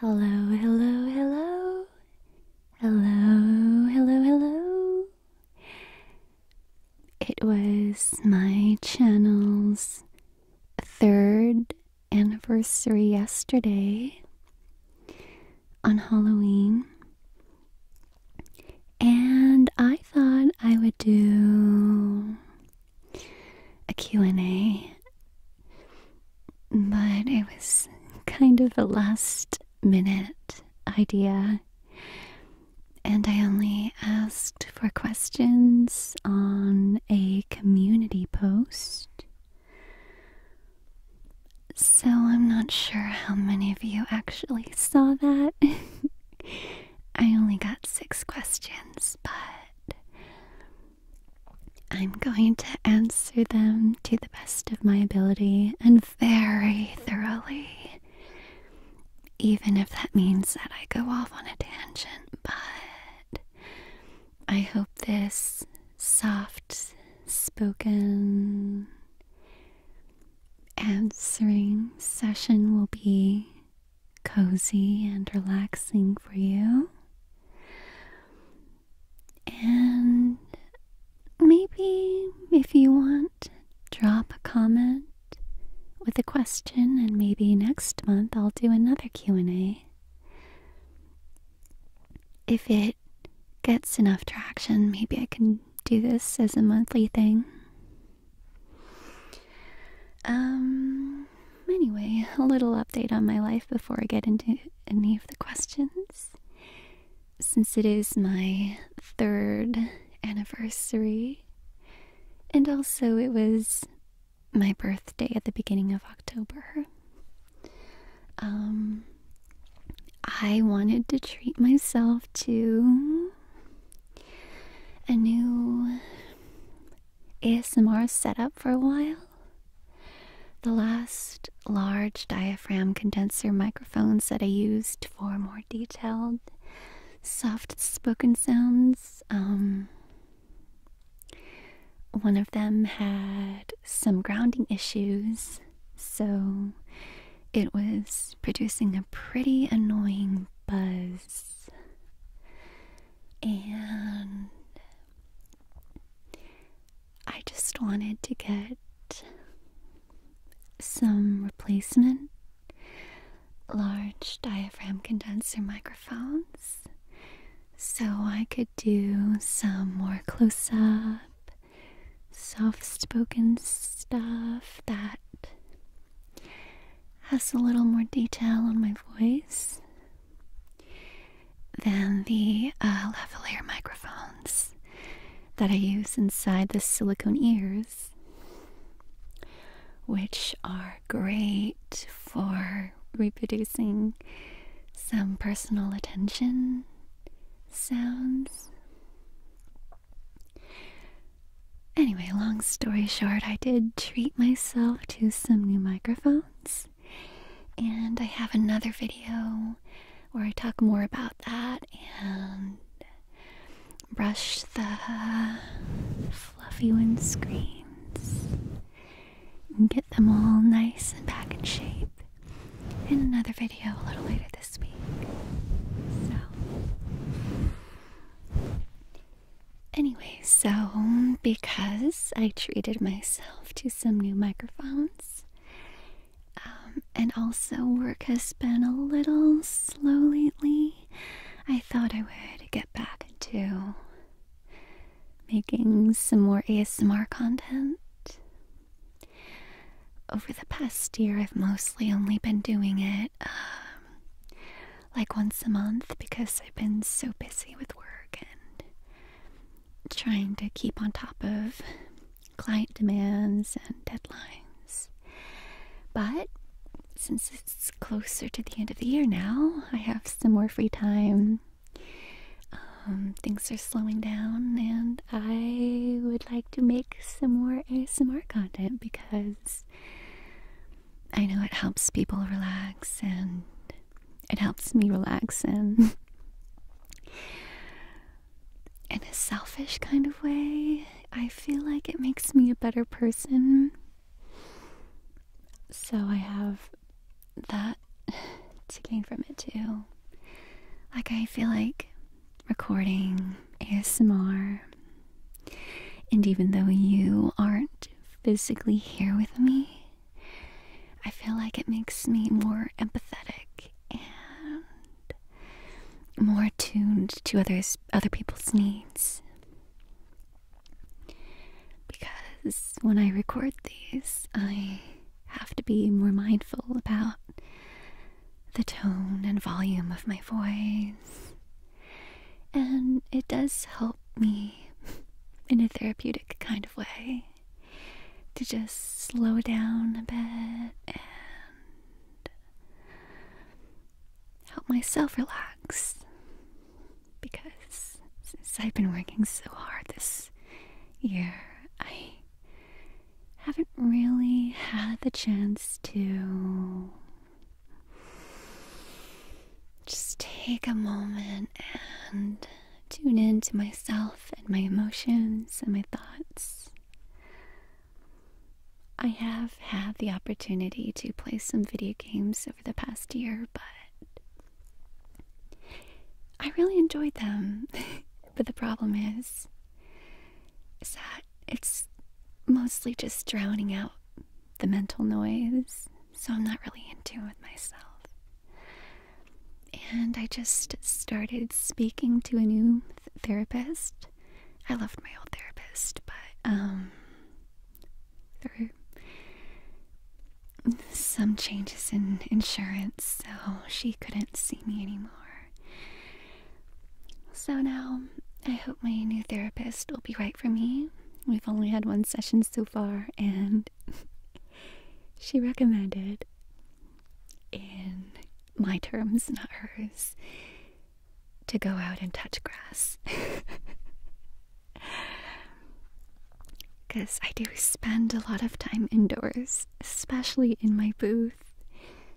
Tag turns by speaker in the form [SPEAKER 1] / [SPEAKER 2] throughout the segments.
[SPEAKER 1] Hello, hello, hello. Hello, hello, hello. It was my channel's third anniversary yesterday on Halloween. And I thought I would do a Q&A but it was kind of a last minute idea. And I only asked for questions on a community post. So I'm not sure how many of you actually saw that. I only got six questions, but I'm going to answer them to the best of my ability and very thoroughly. Even if that means that I go off on a tangent, but I hope this soft spoken answering session will be cozy and relaxing for you. And maybe, if you want, drop a comment with a question and maybe next month I'll do another Q&A. If it gets enough traction, maybe I can do this as a monthly thing. Um Anyway, a little update on my life before I get into any of the questions. Since it is my third anniversary, and also it was my birthday at the beginning of October, um, I wanted to treat myself to a new ASMR setup for a while. The last large diaphragm condenser microphones that I used for more detailed, soft spoken sounds. Um, one of them had some grounding issues, so it was producing a pretty annoying buzz. And I just wanted to get some replacement large diaphragm condenser microphones so I could do some more close up, soft spoken stuff that has a little more detail on my voice then the uh, lavalier microphones that I use inside the silicone ears, which are great for reproducing some personal attention sounds. Anyway, long story short, I did treat myself to some new microphones. And I have another video where I talk more about that and brush the fluffy wind screens and get them all nice and back in shape in another video a little later this week. So, anyway so because I treated myself to some new microphones, um, and also work has been a little slow lately, I thought I would get back to making some more ASMR content. Over the past year, I've mostly only been doing it um, like once a month because I've been so busy with work and trying to keep on top of client demands and deadlines. But since it's closer to the end of the year now, I have some more free time. Um, things are slowing down, and I would like to make some more ASMR content because I know it helps people relax and it helps me relax and in a selfish kind of way, I feel like it makes me a better person. So I have that to gain from it too. Like, I feel like recording ASMR, and even though you aren't physically here with me, I feel like it makes me more empathetic and more attuned to others other people's needs. Because when I record these, I have to be more mindful about the tone and volume of my voice. And it does help me in a therapeutic kind of way to just slow down a bit and help myself relax because since I've been working so hard this year, I haven't really had the chance to just take a moment and tune in to myself and my emotions and my thoughts. I have had the opportunity to play some video games over the past year, but I really enjoyed them. but the problem is, is that it's mostly just drowning out the mental noise so I'm not really in tune with myself. And I just started speaking to a new therapist. I loved my old therapist, but um, there were some changes in insurance, so she couldn't see me anymore. So now I hope my new therapist will be right for me. We've only had one session so far, and she recommended in my terms, not hers, to go out and touch grass. Because I do spend a lot of time indoors, especially in my booth,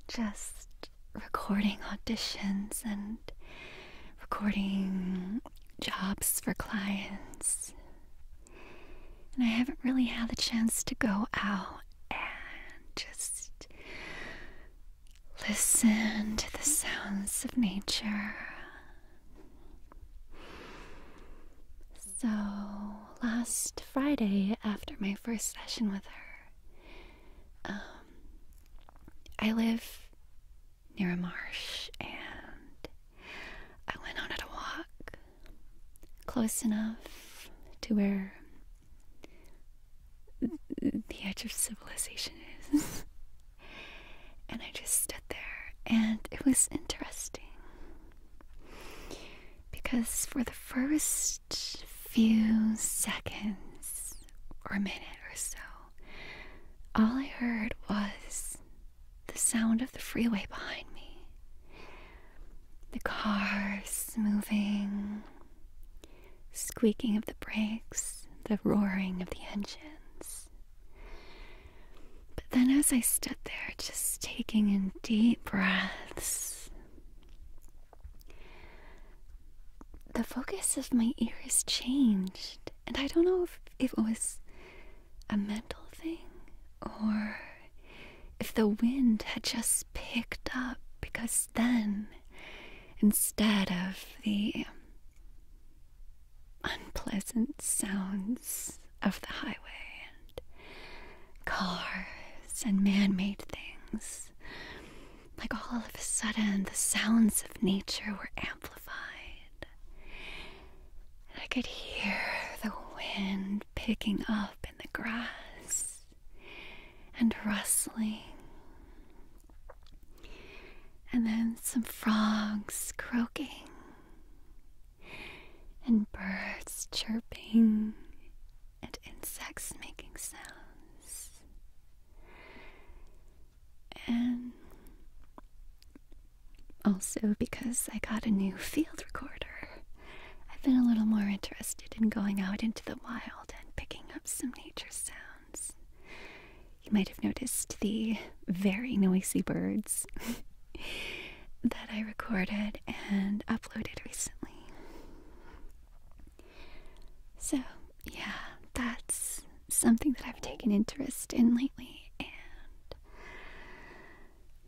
[SPEAKER 1] just recording auditions and recording jobs for clients and I haven't really had the chance to go out and just listen to the sounds of nature. So, last Friday, after my first session with her, um, I live near a marsh and I went on a walk close enough to where the edge of civilization is. and I just stood there and it was interesting because for the first few seconds or a minute or so all I heard was the sound of the freeway behind me. The cars moving, squeaking of the brakes, the roaring of the engines. But then, as I stood there, just taking in deep breaths, the focus of my ears changed. And I don't know if, it was a mental thing or if the wind had just picked up, because then, instead of the unpleasant sounds of the highway and cars and man made things, like all of a sudden the sounds of nature were amplified and I could hear the wind picking up in the grass and rustling. And then some frogs croaking and birds chirping and insects making sounds. And also, because I got a new field recorder, I've been a little more interested in going out into the wild and picking up some nature sounds. You might have noticed the very noisy birds that I recorded and uploaded recently. So, yeah, that's something that I've taken interest in lately, and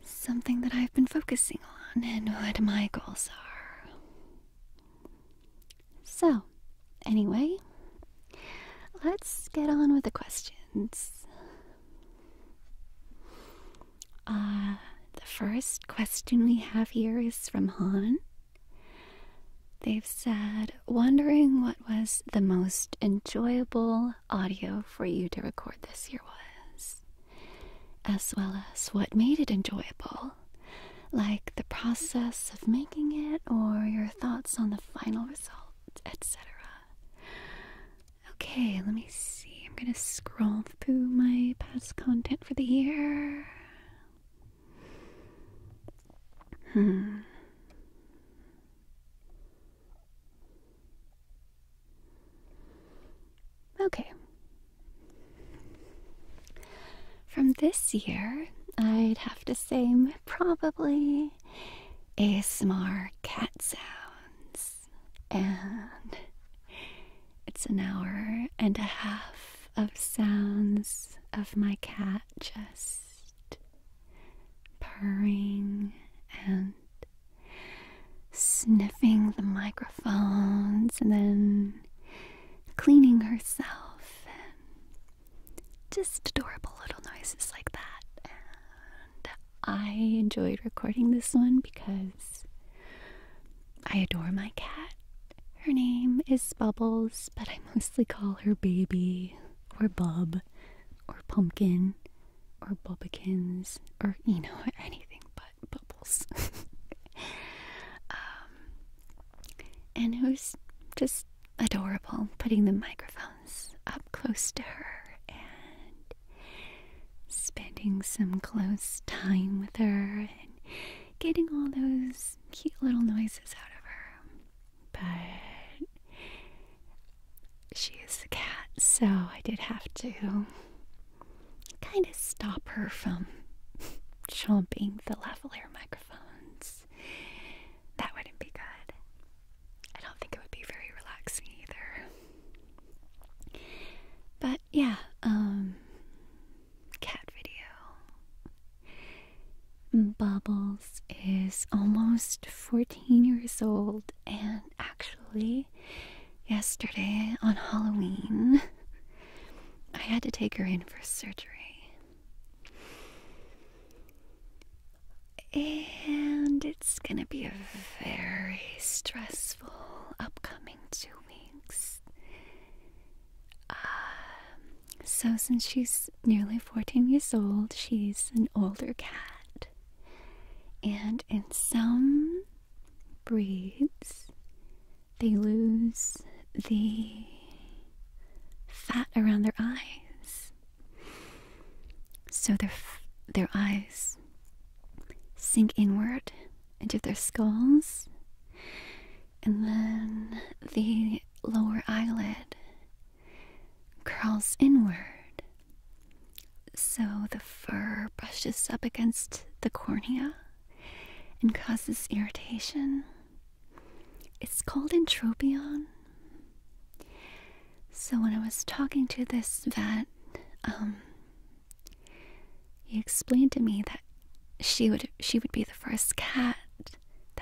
[SPEAKER 1] Something that I've been focusing on and what my goals are. So, anyway, let's get on with the questions. Uh, the first question we have here is from Han. They've said, wondering what was the most enjoyable audio for you to record this year was, as well as what made it enjoyable, like the process of making it or your thoughts on the final result, etc. Okay, let me see. I'm going to scroll through my past content for the year. Hmm. Okay. From this year, I'd have to say probably ASMR cat sounds. And it's an hour and a half of sounds of my cat just purring and sniffing the microphones and then cleaning herself and just adorable little noises like that. And I enjoyed recording this one because I adore my cat. Her name is Bubbles, but I mostly call her Baby or Bub or Pumpkin or bubblekins, or you know anything but bubbles um, and it was just adorable putting the microphones up close to her and spending some close time with her and getting all those cute little noises out of her but she is a cat, so I did have to kind of stop her from chomping the lavalier microphones. That wouldn't be good. I don't think it would be very relaxing either. But yeah, um, cat video. Bubbles is almost 14 years old and actually, yesterday on Halloween, I had to take her in for surgery. And it's gonna be a very stressful upcoming two weeks. Um, so, since she's nearly 14 years old, she's an older cat. And in some breeds, they lose the fat around their eyes. So their, their eyes sink inward into their skulls, and then the lower eyelid curls inward. So the fur brushes up against the cornea and causes irritation. It's called entropion. So when I was talking to this vet, um, he explained to me that she would she would be the first cat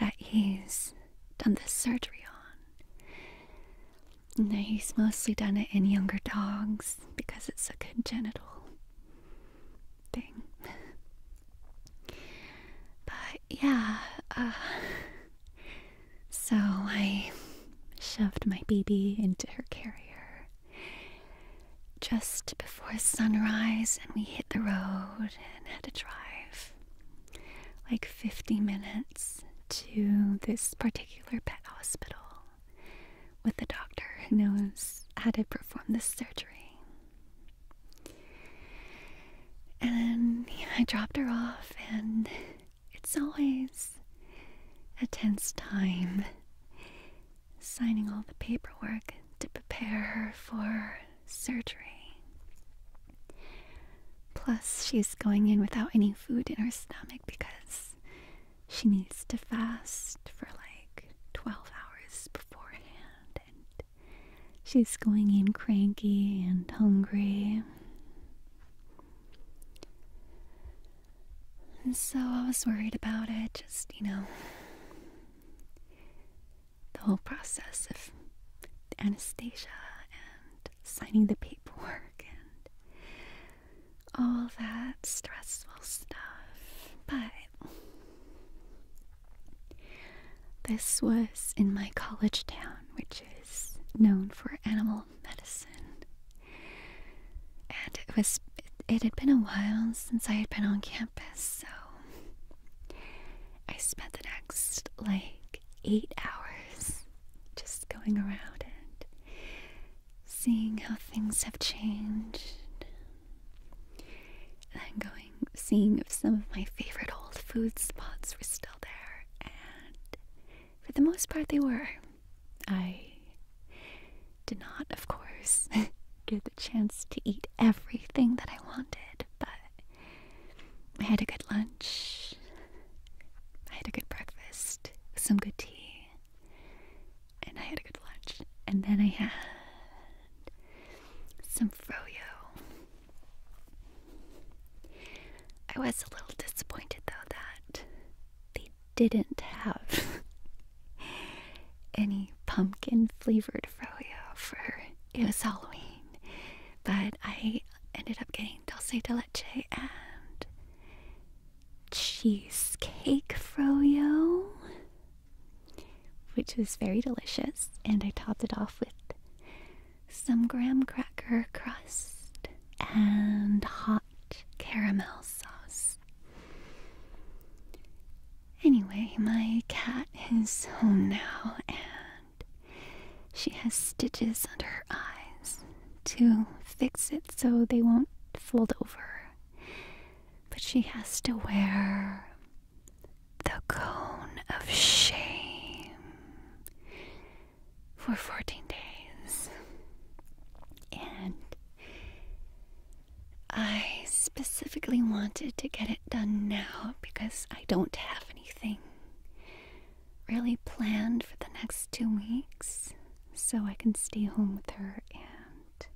[SPEAKER 1] that he's done this surgery on. And he's mostly done it in younger dogs because it's a congenital thing. But yeah, uh, so I shoved my baby into her carrier just before sunrise, and we hit the road and had to drive like 50 minutes to this particular pet hospital with a doctor who knows how to perform this surgery. And I dropped her off, and it's always a tense time signing all the paperwork to prepare her for surgery. Plus, she's going in without any food in her stomach because she needs to fast for like 12 hours beforehand, and she's going in cranky and hungry. And so I was worried about it, just, you know, the whole process of Anastasia and signing the paperwork and all that stressful stuff. But this was in my college town, which is known for animal medicine. And it was it had been a while since I had been on campus, so I spent the next like eight hours just going around and seeing how things have changed. And then going, seeing if some of my favorite old food spots were still there, and for the most part, they were. I did not, of course, get the chance to eat everything that I wanted, but I had a good lunch. I had a good breakfast, some good tea, and I had a good lunch. And then I had some froyo. I was a little disappointed though that they didn't have any pumpkin flavored froyo for it was Halloween. But I ended up getting dulce de leche and cheesecake froyo, which was very delicious. And I topped it off with some graham cracker crust and hot caramel sauce. Anyway, my cat is home now and she has stitches under her eyes to fix it so they won't fold over. But she has to wear the cone of shame for 14 days. And I specifically wanted to get it done now because I don't have anything really planned for the next two weeks so I can stay home with her and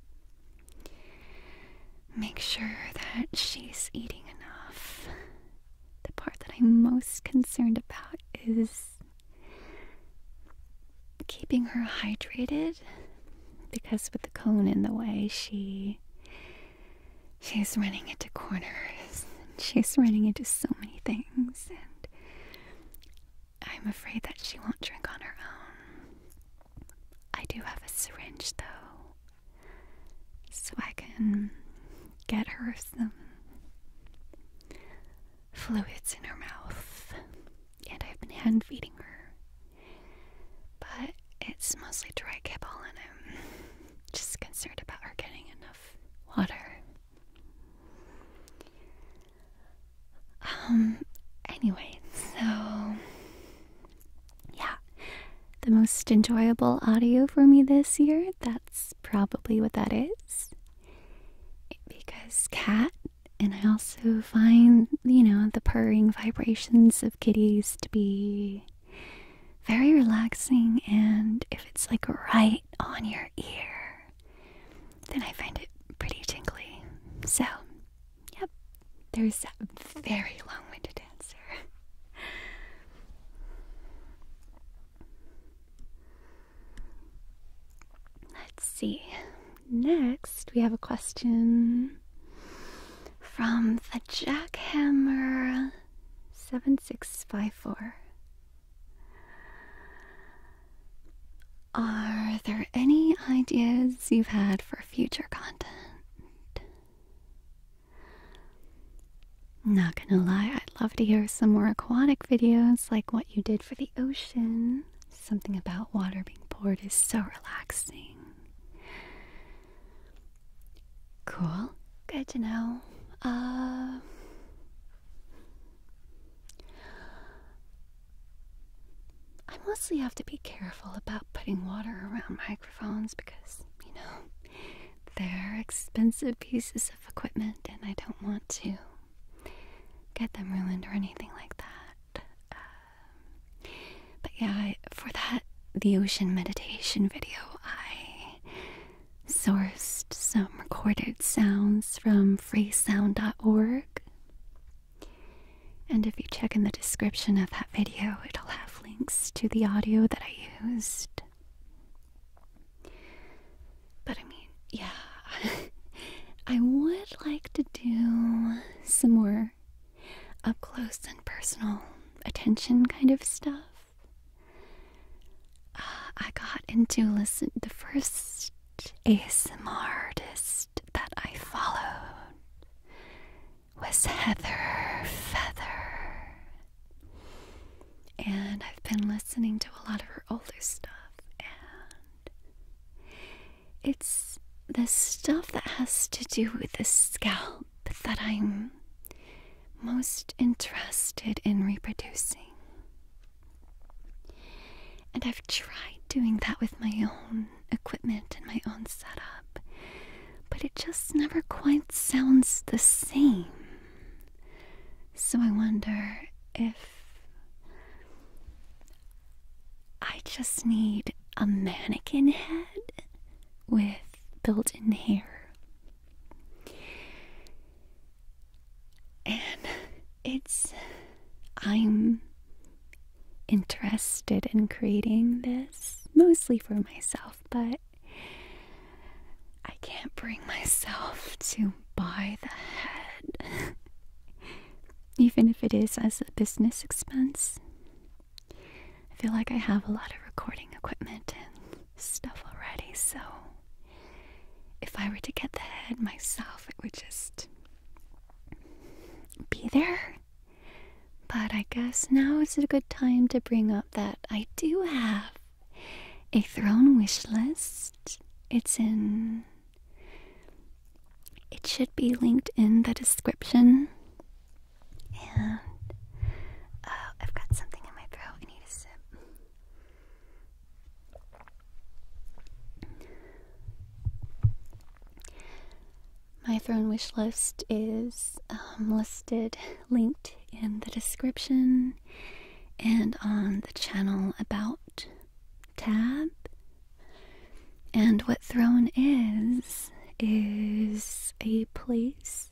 [SPEAKER 1] make sure that she's eating enough. The part that I'm most concerned about is keeping her hydrated because with the cone in the way, she She's running into corners. And she's running into so many things. And I'm afraid that she won't drink on her own. I do have a syringe, though. So I can get her some fluids in her mouth. And I've been hand feeding her. But it's mostly dry kibble, and I'm just concerned about her getting enough water. Um, anyway, so yeah, the most enjoyable audio for me this year, that's probably what that is. Because cat, and I also find, you know, the purring vibrations of kitties to be very relaxing, and if it's like right on your ear, then I find it pretty tinkly. So, yep, there's a very long winded answer. Let's see. Next, we have a question from the Jackhammer7654. Are there any ideas you've had for future content? Not gonna lie, I'd love to hear some more aquatic videos like what you did for the ocean. Something about water being poured is so relaxing. Cool. Good to know. Uh, I mostly have to be careful about putting water around microphones because, you know, they're expensive pieces of equipment and I don't want to get them ruined or anything like that. Um, but yeah, for that, the ocean meditation video, I sourced some recorded sounds from freesound.org. And if you check in the description of that video, it'll have links to the audio that I used. But I mean, yeah, I would like to do some more up close and personal attention kind of stuff. Uh, I got into listen the first ASMR artist that I followed was Heather Feather, and I've been listening to a lot of her older stuff, and it's the stuff that has to do with the scalp that I'm most interested in reproducing. And I've tried doing that with my own equipment and my own setup, but it just never quite sounds the same. So I wonder if I just need a mannequin head with built in hair. And it's. I'm interested in creating this mostly for myself, but I can't bring myself to buy the head, even if it is as a business expense. I feel like I have a lot of recording equipment and stuff already, so if I were to get the head myself, it would just be there. But I guess now is a good time to bring up that I do have a throne wish list. It's in. It should be linked in the description. And. Uh, I've got something in my throat. I need a sip. My throne wish list is um, listed, linked in the description and on the channel about tab. And what throne is, is a place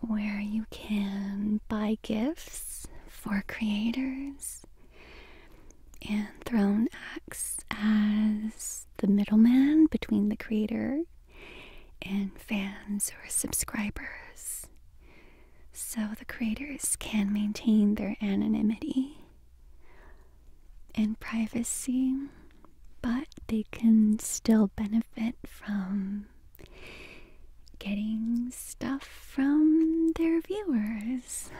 [SPEAKER 1] where you can buy gifts for creators and Throne acts as the middleman between the creator and fans or subscribers. So the creators can maintain their anonymity and privacy, but they can still benefit from getting stuff from their viewers.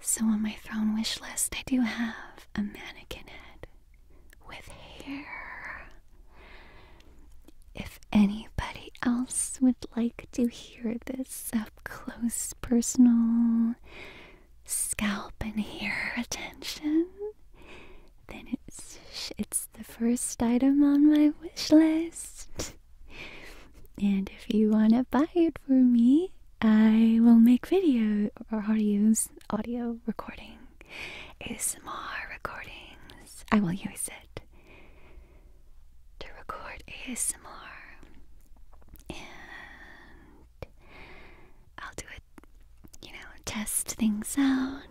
[SPEAKER 1] So, on my throne wish list, I do have a mannequin head with hair. If anybody else would like to hear this up close, personal scalp and hair attention, then it's it's the first item on my wish list. and if you want to buy it for me, I will make video or use audio recording, ASMR recordings. I will use it to record ASMR, and I'll do it. You know, test things out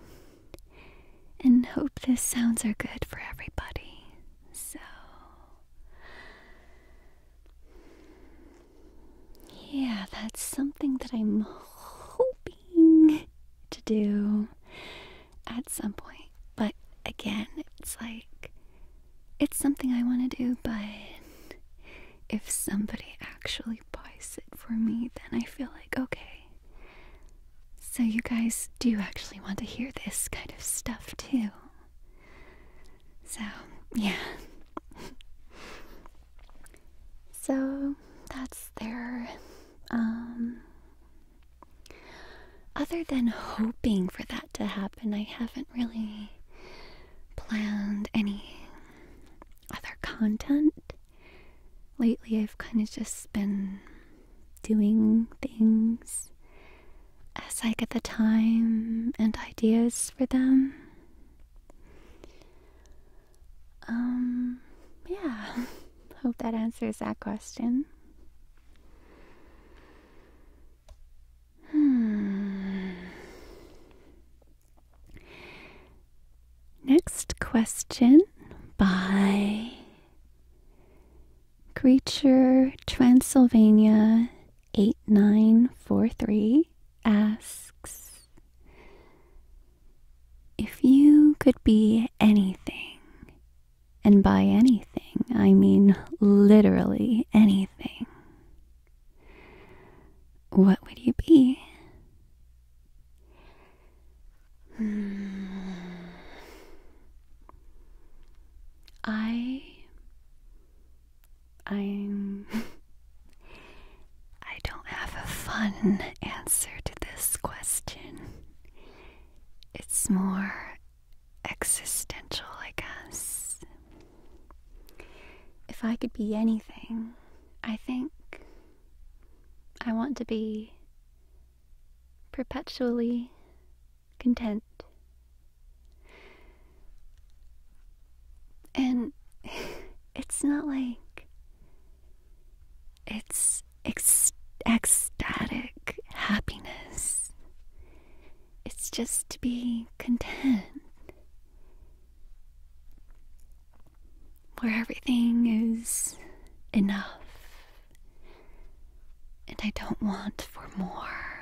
[SPEAKER 1] and hope the sounds are good for everybody. So, yeah, that's something that I'm hoping to do at some point. But again, it's like, it's something I want to do, but if somebody actually buys it for me, then I feel like, okay, so, you guys do actually want to hear this kind of stuff, too. So, yeah. so, that's there. Um, other than hoping for that to happen, I haven't really planned any other content lately I've kind of just been doing things as like at the time and ideas for them. Um, yeah, hope that answers that question. Hmm. Next question by Creature Transylvania 8943 asks If you could be anything, and by anything I mean literally anything, what would you be? Hmm. I I'm I don't have a fun answer to this question. It's more existential, I guess. If I could be anything, I think I want to be perpetually content. And it's not like it's ecstatic happiness. It's just to be content where everything is enough, and I don't want for more.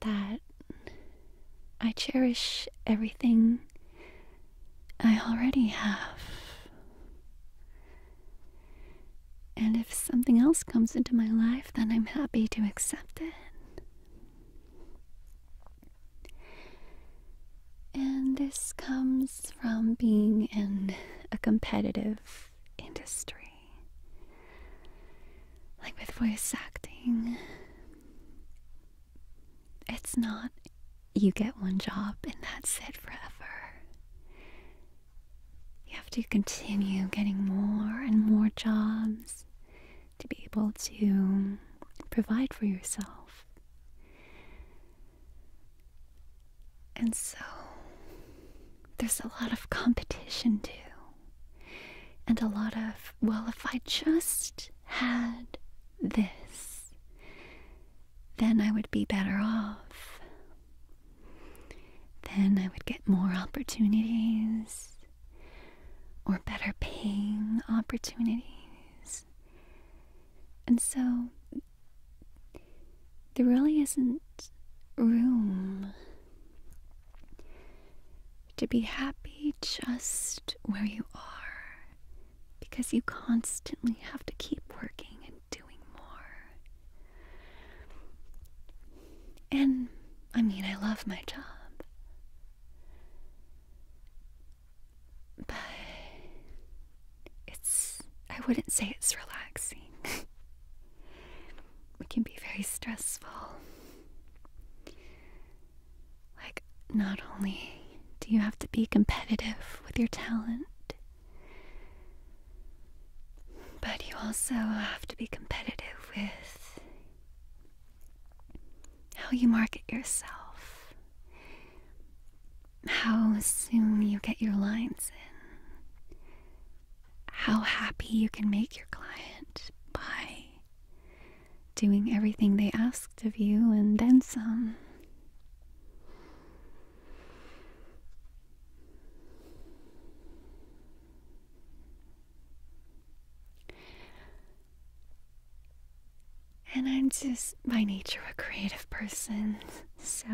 [SPEAKER 1] That I cherish everything I already have. And if something else comes into my life, then I'm happy to accept it. And this comes from being in a competitive industry, like with voice acting. It's not you get one job and that's it forever. You have to continue getting more and more jobs to be able to provide for yourself. And so there's a lot of competition too. And a lot of, well, if I just had this, then I would be better off. Then I would get more opportunities or better paying opportunities. And so there really isn't room to be happy just where you are because you constantly have to keep working and doing more. And I mean, I love my job. But it's, I wouldn't say it's relaxing. it can be very stressful. Like, not only do you have to be competitive with your talent, but you also have to be competitive with how you market yourself, how soon you get your lines in, how happy you can make your client by doing everything they asked of you and then some. And I'm just by nature a creative person, so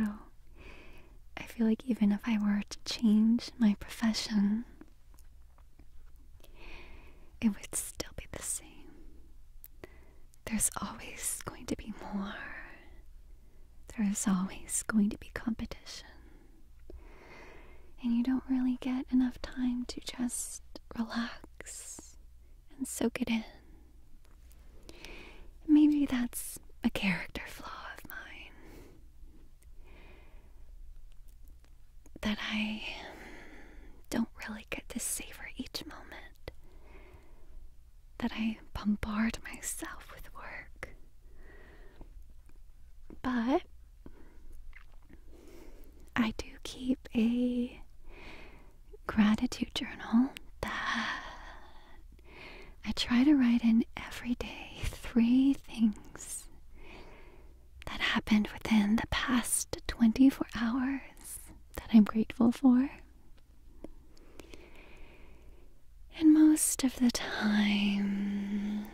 [SPEAKER 1] I feel like even if I were to change my profession, it would still be the same. There's always going to be more, there's always going to be competition and you don't really get enough time to just relax and soak it in. Maybe that's a character flaw of mine. That I don't really get to savor each moment. That I bombard myself with work. But I do keep a gratitude journal I try to write in every day three things that happened within the past 24 hours that I'm grateful for. And most of the time,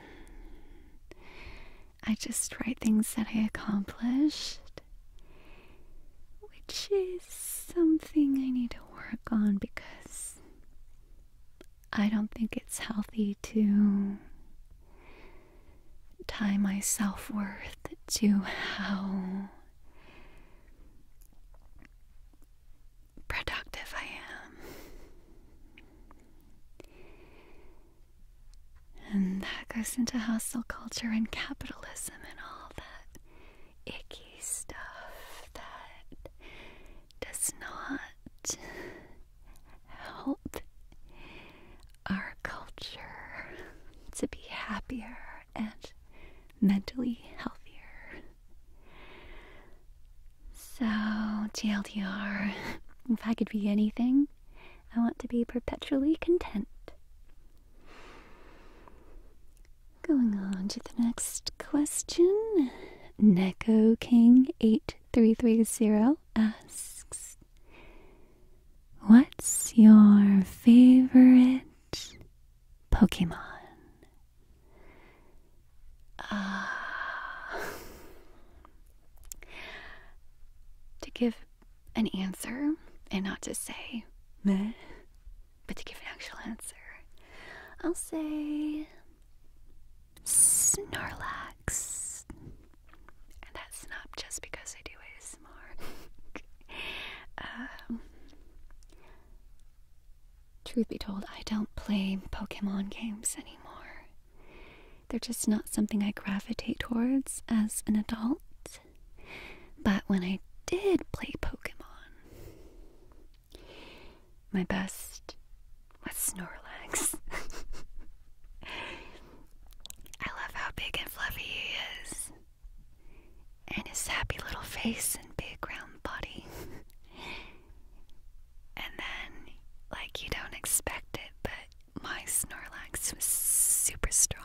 [SPEAKER 1] I just write things that I accomplished, which is something I need to work on because I don't think it's healthy to tie my self worth to how productive I am. And that goes into hustle culture and capitalism and all that icky stuff that does not help our culture to be happier and mentally healthier. So, TLDR, if I could be anything, I want to be perpetually content. Going on to the next question. Neko King 8330 asks What's your favorite Pokemon? Ah, To give an answer and not to say but to give an actual answer, I'll say Snorlax. And that's not just because I do ASMR. um, truth be told, I don't play Pokemon games anymore. They're just not something I gravitate towards as an adult. But when I did play Pokemon, my best was Snorlax. I love how big and fluffy is, and his happy little face and big round body. and then, like, you don't expect it, but my Snorlax was super strong.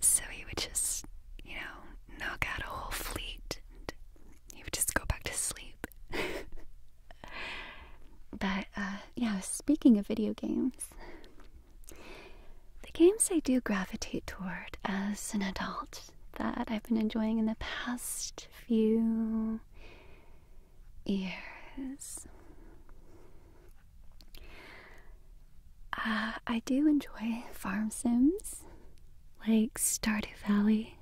[SPEAKER 1] So he would just, you know, knock out a whole fleet and he would just go back to sleep. but, uh, yeah, speaking of video games, the games I do gravitate toward as an adult that I've been enjoying in the past few ears. Uh, I do enjoy farm sims like Stardew Valley.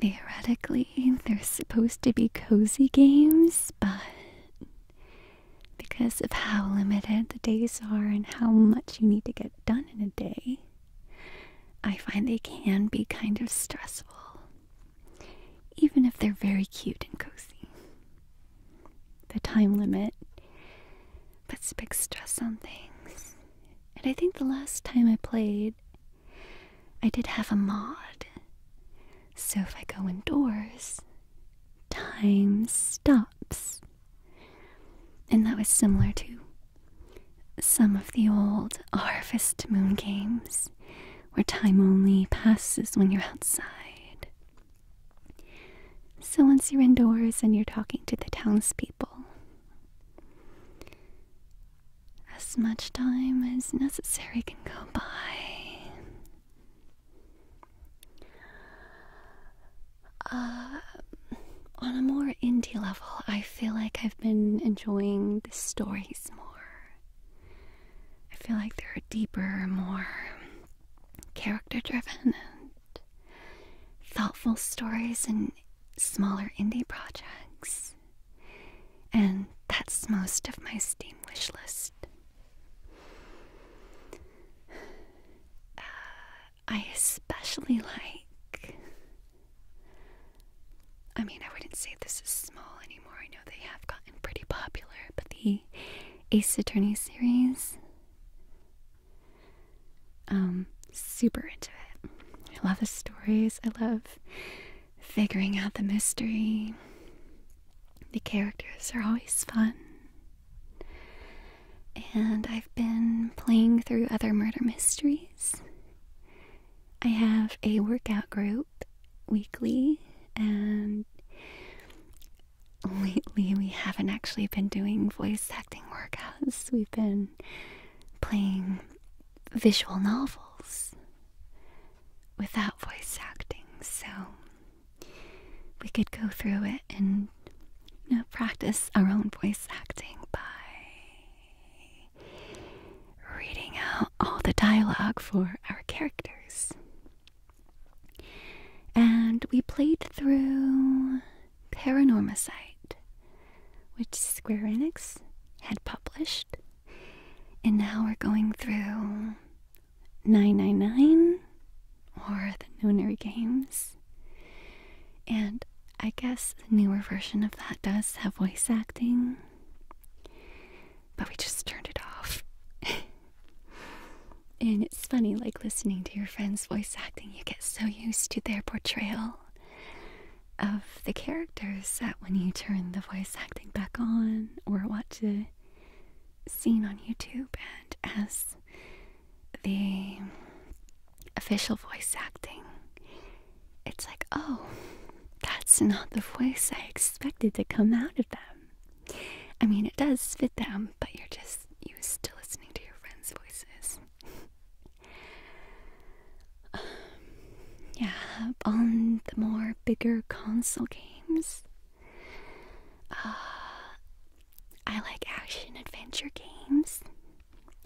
[SPEAKER 1] Theoretically, they're supposed to be cozy games, but because of how limited the days are and how much you need to get done in a day, I find they can be kind of stressful, even if they're very cute and cozy. The time limit puts a big stress on things. And I think the last time I played, I did have a mod. So if I go indoors, time stops. And that was similar to some of the old harvest moon games, where time only passes when you're outside. So once you're indoors and you're talking to the townspeople, as much time as necessary can go by. Uh, on a more indie level, I feel like I've been enjoying the stories more. I feel like they're deeper, more character driven, and thoughtful stories in smaller indie projects. And that's most of my Steam wish list. Uh, I especially like. I mean, I wouldn't say this is small anymore. I know they have gotten pretty popular, but the Ace Attorney series. Um, super into it. I love the stories. I love figuring out the mystery. The characters are always fun. And I've been playing through other murder mysteries I have a workout group weekly, and lately we haven't actually been doing voice acting workouts. We've been playing visual novels without voice acting, so we could go through it and you know, practice our own voice acting by reading out all the dialogue for our characters. And we played through Paranormicite, which Square Enix had published. And now we're going through 999 or the Nonary Games and I guess the newer version of that does have voice acting, but we just turned it off. and it's funny, like listening to your friends' voice acting, you get so used to their portrayal of the characters that when you turn the voice acting back on or watch a scene on YouTube and as the official voice acting, it's like, oh, that's not the voice I expected to come out of them. I mean, it does fit them, but you're just used to listening to your friends' voices. yeah, on the more bigger console games, uh, I like action adventure games.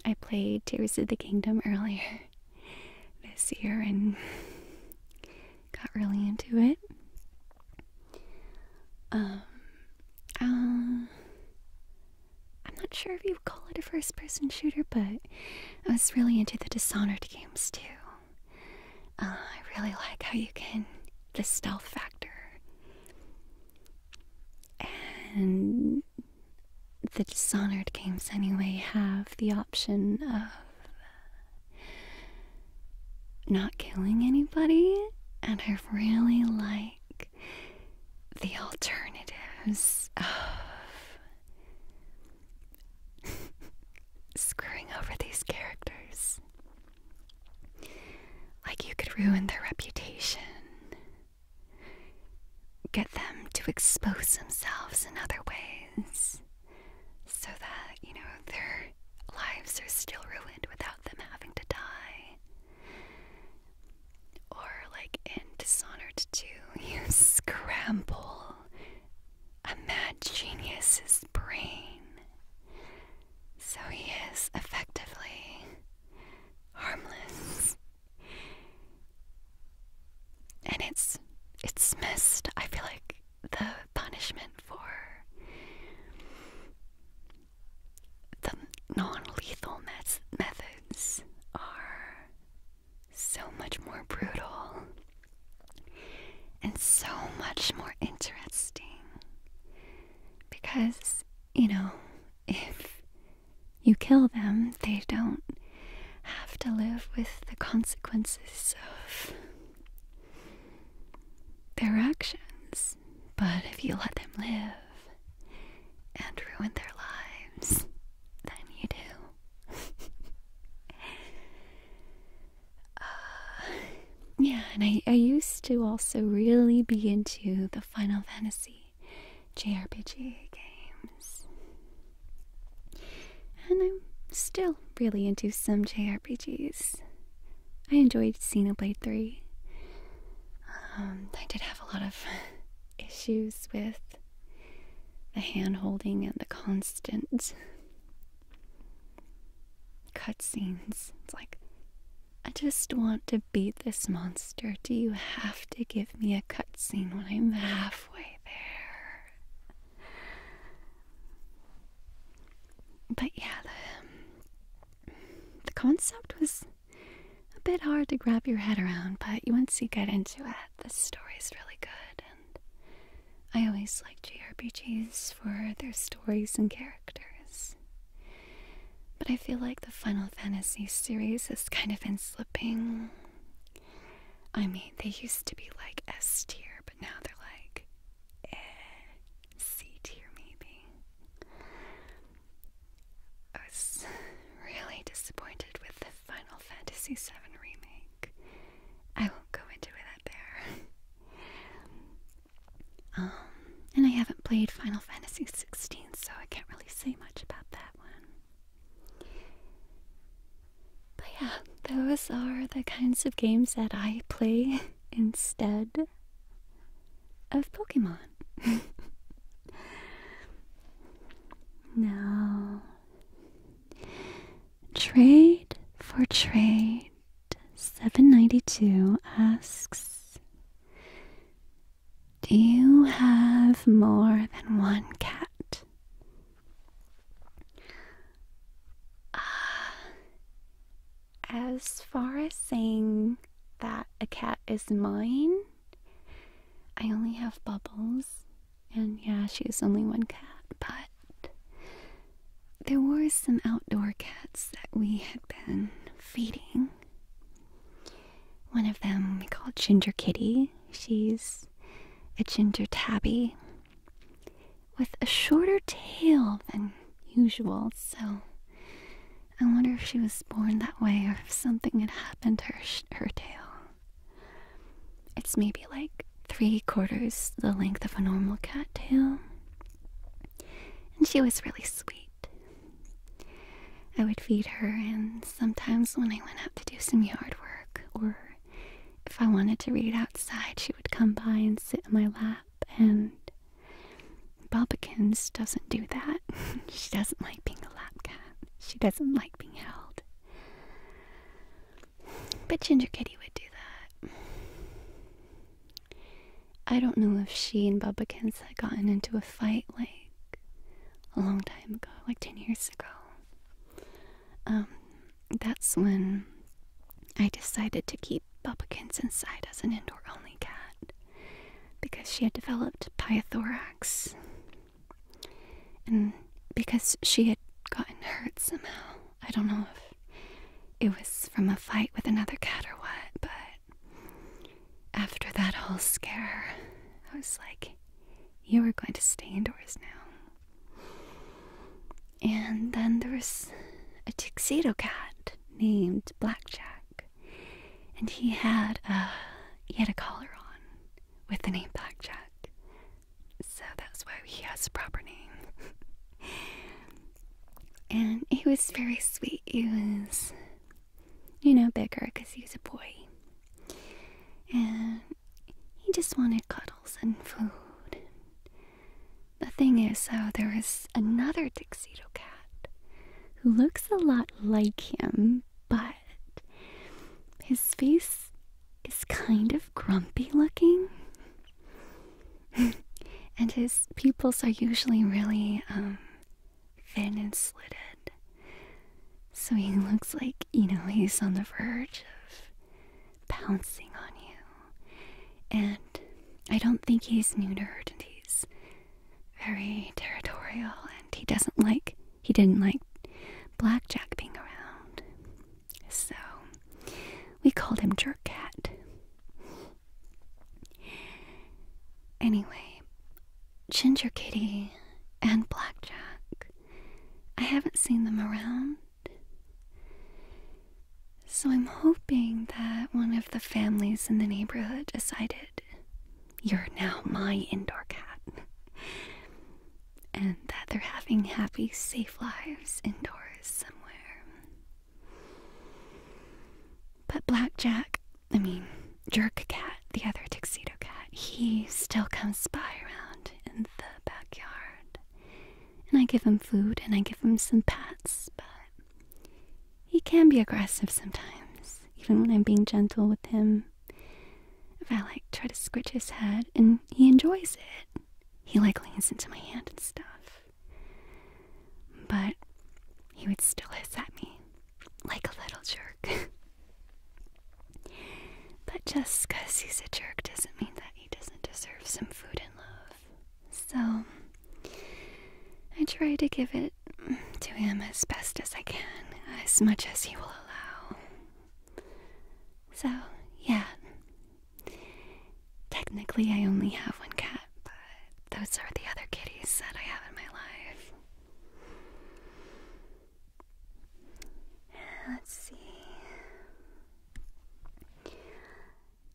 [SPEAKER 1] I played Tears of the Kingdom earlier this year and got really into it. Um, uh, I'm not sure if you would call it a first person shooter, but I was really into the Dishonored games too. Uh, I really like how you can, the stealth factor. And the Dishonored games, anyway, have the option of not killing anybody, and I really like the alternatives of screwing over these characters. Like, you could ruin their reputation get them to expose themselves in other ways so that, you know, their lives are still ruined without them having to die. Or, like in Dishonored to you scramble a mad genius's brain. So he is effectively harmless and it's it's missed. I feel like the punishment for the non-lethal methods are so much more brutal and so much more interesting because you know if you kill them, they don't have to live with the consequences of their actions. But if you let them live and ruin their lives, then you do. Uh, yeah, and I used to also really be into the Final Fantasy JRPG games. And I'm still really into some JRPGs. I enjoyed Blade* 3. Um, I did have a lot of issues with the hand holding and the constant cutscenes. It's like, I just want to beat this monster, do you have to give me a cutscene when I'm halfway there? But yeah, the, the concept was a bit hard to grab your head around, but once you get into it, the story is really good, and I always like JRPGs for their stories and characters but I feel like the Final Fantasy series has kind of been slipping. I mean, they used to be like S tier, but now they're like eh, C tier, maybe. I was really disappointed with the Final Fantasy VII remake. I won't go into it there. um, and I haven't played Final Fantasy XVI, so I can't really say much about that one. But yeah, those are the kinds of games that I play instead of Pokemon. now, Trade for Trade 792 asks do you have more than one cat? Uh, as far as saying that a cat is mine, I only have Bubbles, and yeah, she's only one cat, but there were some outdoor cats that we had been feeding. One of them we call Ginger Kitty. She's a ginger tabby with a shorter tail than usual, so I wonder if she was born that way or if something had happened to her, her tail. It's maybe like three quarters the length of a normal cat tail. And she was really sweet, I would feed her, and sometimes when I went out to do some yard work or if I wanted to read outside, she would come by and sit in my lap. And Bobakins doesn't do that. she doesn't like being a lap cat, she doesn't like being held. But Ginger Kitty would do that. I don't know if she and Bubba had gotten into a fight like a long time ago, like 10 years ago. Um, that's when I decided to keep Bubbikins inside as an indoor only cat because she had developed pyothorax and because she had gotten hurt somehow. I don't know if it was from a fight with another cat or what, but after that whole scare, I was like, you are going to stay indoors now. And then there was a tuxedo cat named Blackjack, and he had a he had a collar on with the name Blackjack, so that's why he has a proper name. and he was very sweet. He was you know, bigger because he was a boy. And he just wanted cuddles and food. The thing is, though, there is another tuxedo cat who looks a lot like him, but his face is kind of grumpy looking. and his pupils are usually really um, thin and slitted. So he looks like, you know, he's on the verge of pouncing on you. And I don't think he's neutered he's very territorial and he doesn't like, he didn't like Blackjack being around. So we called him Jerk Cat. Anyway, Ginger Kitty and Blackjack. I haven't seen them around. So I'm hoping that one of the families in the neighborhood decided you're now my indoor cat. And that they're having happy, safe lives indoors somewhere. But Blackjack I mean, Jerk Cat, the other tuxedo cat, he still comes by around in the backyard. And I give him food and I give him some pats, but he can be aggressive sometimes, even when I'm being gentle with him. If I like try to scratch his head and he enjoys it, he like leans into my hand and stuff. But he would still hiss at me like a little jerk. but just because he's a jerk doesn't mean that he doesn't deserve some food and love. So I try to give it to him as best as I can, as much as he will allow. So, yeah. Technically, I only have one cat, but those are the other kitties that I have in my life. Uh, let's see.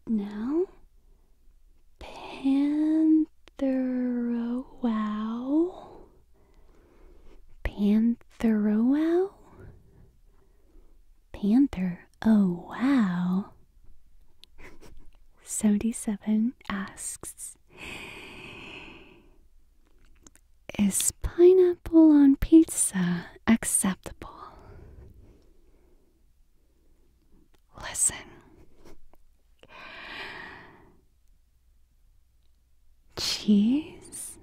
[SPEAKER 1] Now, Panthero wow. Panthero wow. Panther. Oh wow. 77 asks is pineapple on pizza acceptable? Listen. Cheese,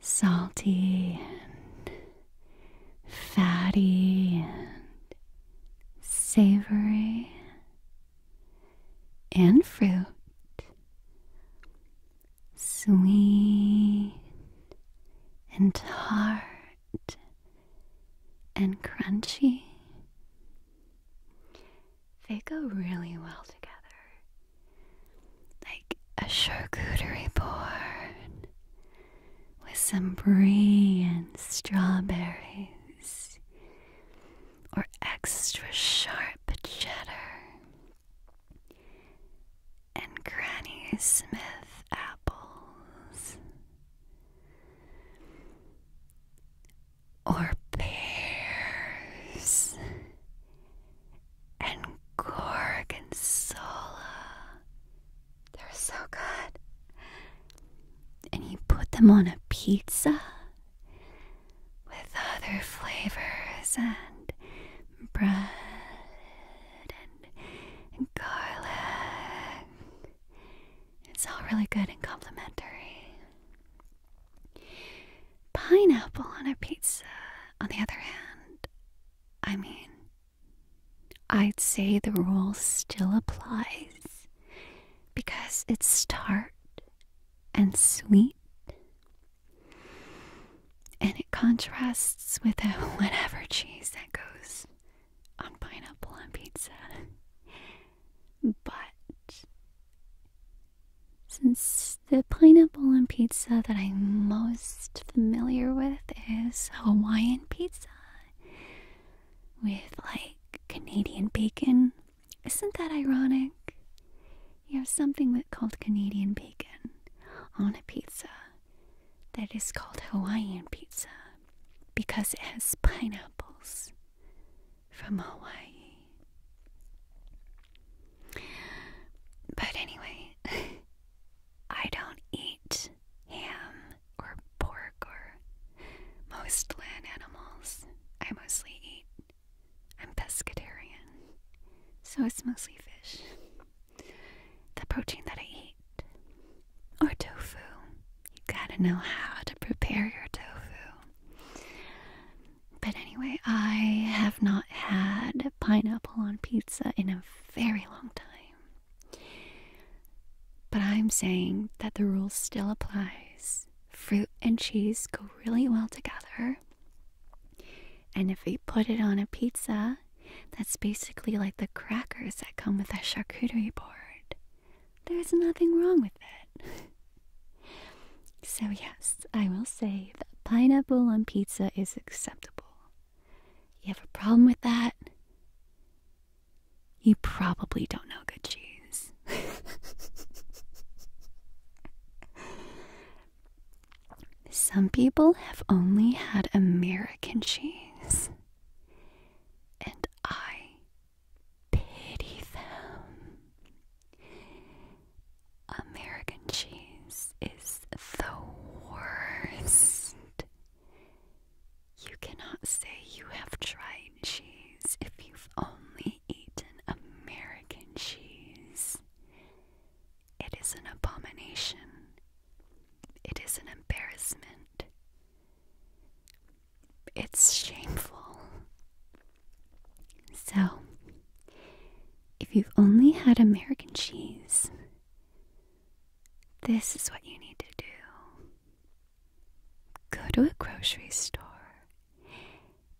[SPEAKER 1] salty and fatty and savory and fruit. Sweet and tart and crunchy. They go really well together. Like a charcuterie board with some brie and strawberries or extra sharp cheddar, and Granny Smith apples, or pears, and gorgonzola. They're so good and he put them on a pizza with other flavors and bread and, garlic. It's all really good and complementary. Pineapple on a pizza, on the other hand, I mean, I'd say the rule still applies because it's tart and sweet and it contrasts with whatever cheese that goes on pineapple on pizza. But since the pineapple on pizza that I'm most familiar with is Hawaiian pizza, with like Canadian bacon. Isn't that ironic? You have something called Canadian bacon on a pizza that is called Hawaiian pizza because it has pineapples from Hawaii. But anyway, I don't eat ham or pork or most land animals. I mostly eat. I'm pescatarian, so it's mostly fish. The protein that I eat. Or tofu. You gotta know how to prepare your tofu. But anyway, I have not had pineapple on pizza in a very long time. But I'm saying that the rule still applies. Fruit and cheese go really well together. And if we put it on a pizza, that's basically like the crackers that come with a charcuterie board. There's nothing wrong with it. so, yes, I will say that pineapple on pizza is acceptable. You have a problem with that? You probably don't know good cheese. Some people have only had American cheese, and I pity them. American cheese is the worst. You cannot say you have tried cheese if you've only eaten American cheese. It is an abomination. It is an embarrassment. It's shameful. So, if you've only had American cheese, this is what you need to do go to a grocery store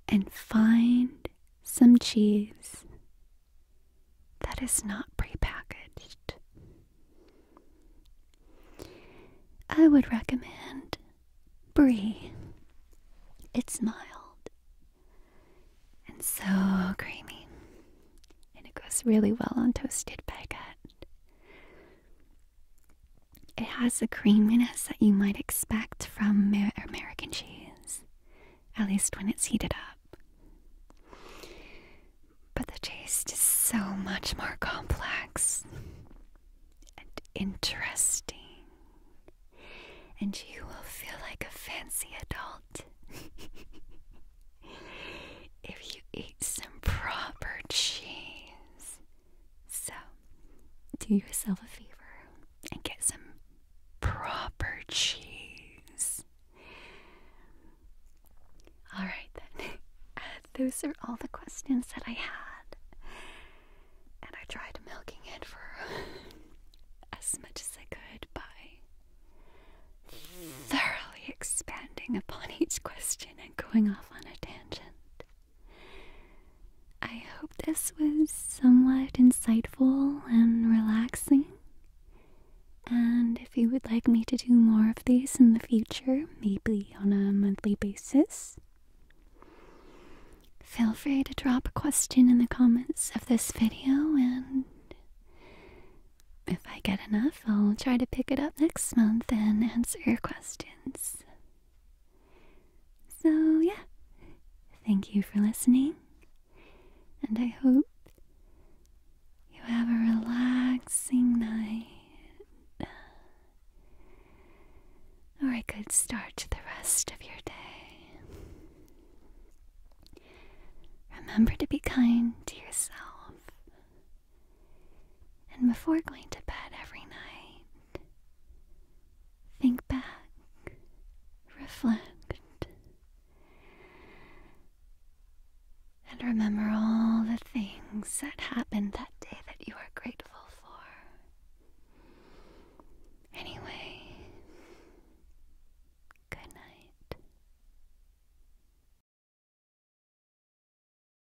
[SPEAKER 1] and find some cheese that is not prepackaged. I would recommend brie. It's mild and so creamy, and it goes really well on toasted baguette. It has the creaminess that you might expect from American cheese, at least when it's heated up. But the taste is so much more complex and interesting. And you will feel like a fancy adult if you eat some proper cheese. So, do yourself a favor and get some proper cheese. Alright then, those are all the questions that I had. And I tried milking it for as much as I could by thoroughly expanding upon each question and going off on a tangent. I hope this was somewhat insightful and relaxing. And if you would like me to do more of these in the future, maybe on a monthly basis, feel free to drop a question in the comments of this video, and if I get enough, I'll try to pick it up next month and answer your questions. So, yeah, thank you for listening, and I hope you have a relaxing night or a good start to the rest of your day. Remember to be kind to yourself. And before going to bed every night, think back, reflect, and remember all the things that happened that day that you are grateful for. Anyway, good night.